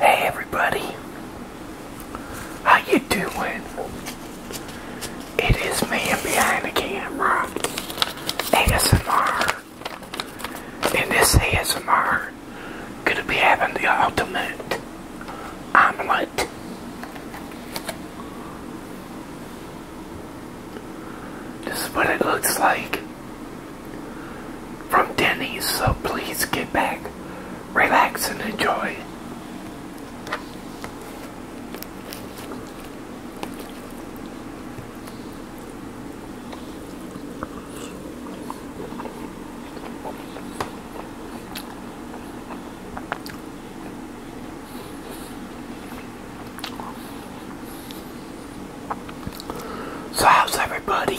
Hey everybody, how you doing? It is man behind the camera, ASMR, and this ASMR gonna be having the ultimate omelet. This is what it looks like from Denny's, so please get back, relax, and enjoy. So how's everybody?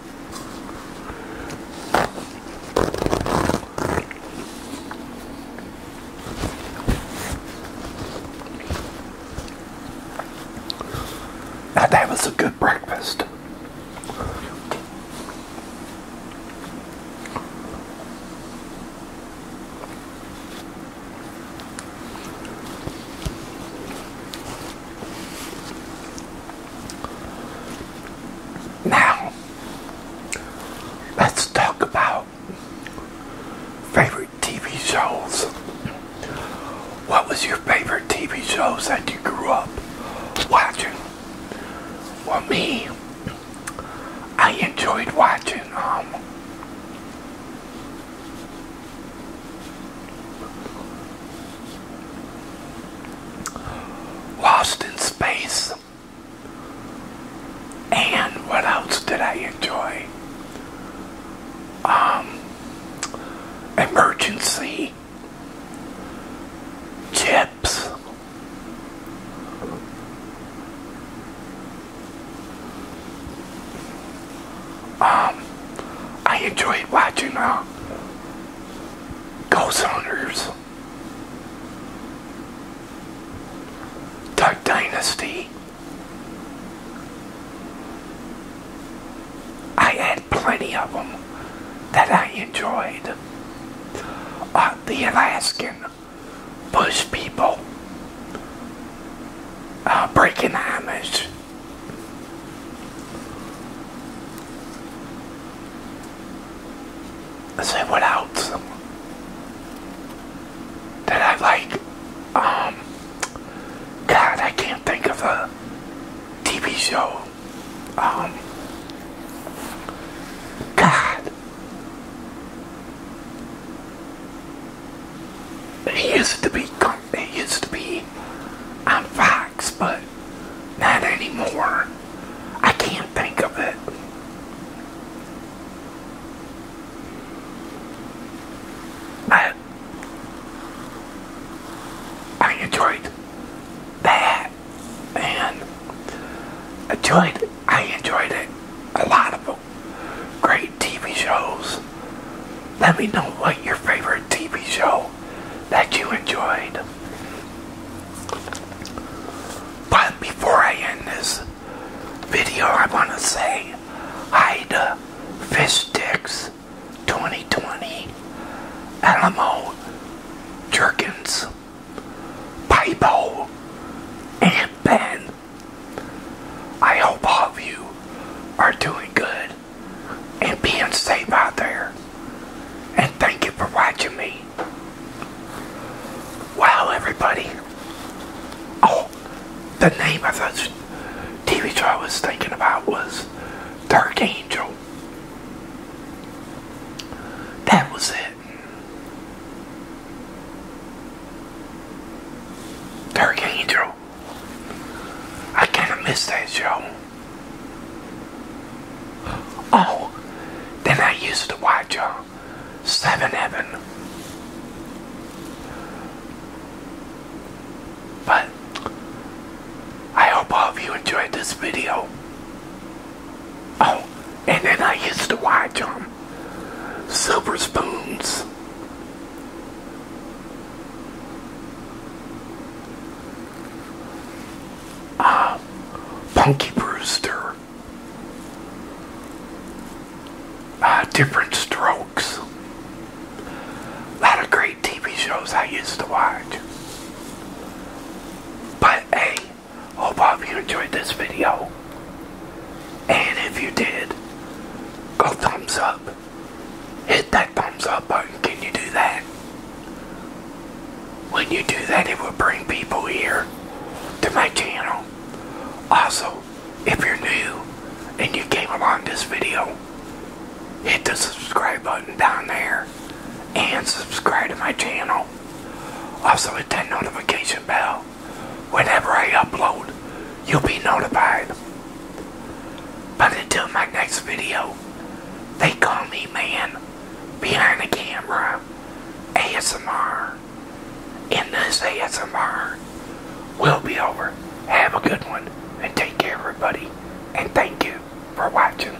that was a good breakfast. Now, let's talk about favorite TV shows. What was your favorite TV shows that you grew up watching? Well, me, I enjoyed watching um, Lost in Space. And what else did I enjoy? Um, Emergency. Chips. Um, I enjoy watching uh, Ghost Hunters, Duck Dynasty. I had plenty of them that I enjoyed. Uh, the Alaskan Bush people, uh, Breaking Amish. Let's what else that I like. Um, God, I can't think of the TV show. Um, God, he used to be. It used to be on Fox, but not anymore. I can't think of it. I enjoyed that and enjoyed I enjoyed it a lot of great TV shows. Let me know what your favorite TV show that you enjoyed. But before I end this video, I want to say hi to Fish Sticks 2020, Alamo Jerkins, Pipo, and Ben. I hope all of you are doing good and being safe out there. And thank you for watching me. Wow, everybody. Oh, the name of the TV show I was thinking about was Dark Angel. That was it. Dark Angel. I kind of missed that show. Oh, then I used to watch uh, Seven Heaven. But I hope all of you enjoyed this video. Oh, and then I used to watch um, silver spoons. Ah, Punky Brewster. Ah, different strokes. A lot of great TV shows I used to watch. But hey, Hope all of you enjoyed this video. And if you did, go thumbs up. Hit that thumbs up button. Can you do that? When you do that, it will bring people here to my channel. Also, if you're new and you came along this video, hit the subscribe button down there and subscribe to my channel. Also hit that notification bell Whenever I upload, you'll be notified. But until my next video, they call me man behind the camera ASMR. And this ASMR will be over. Have a good one and take care everybody. And thank you for watching.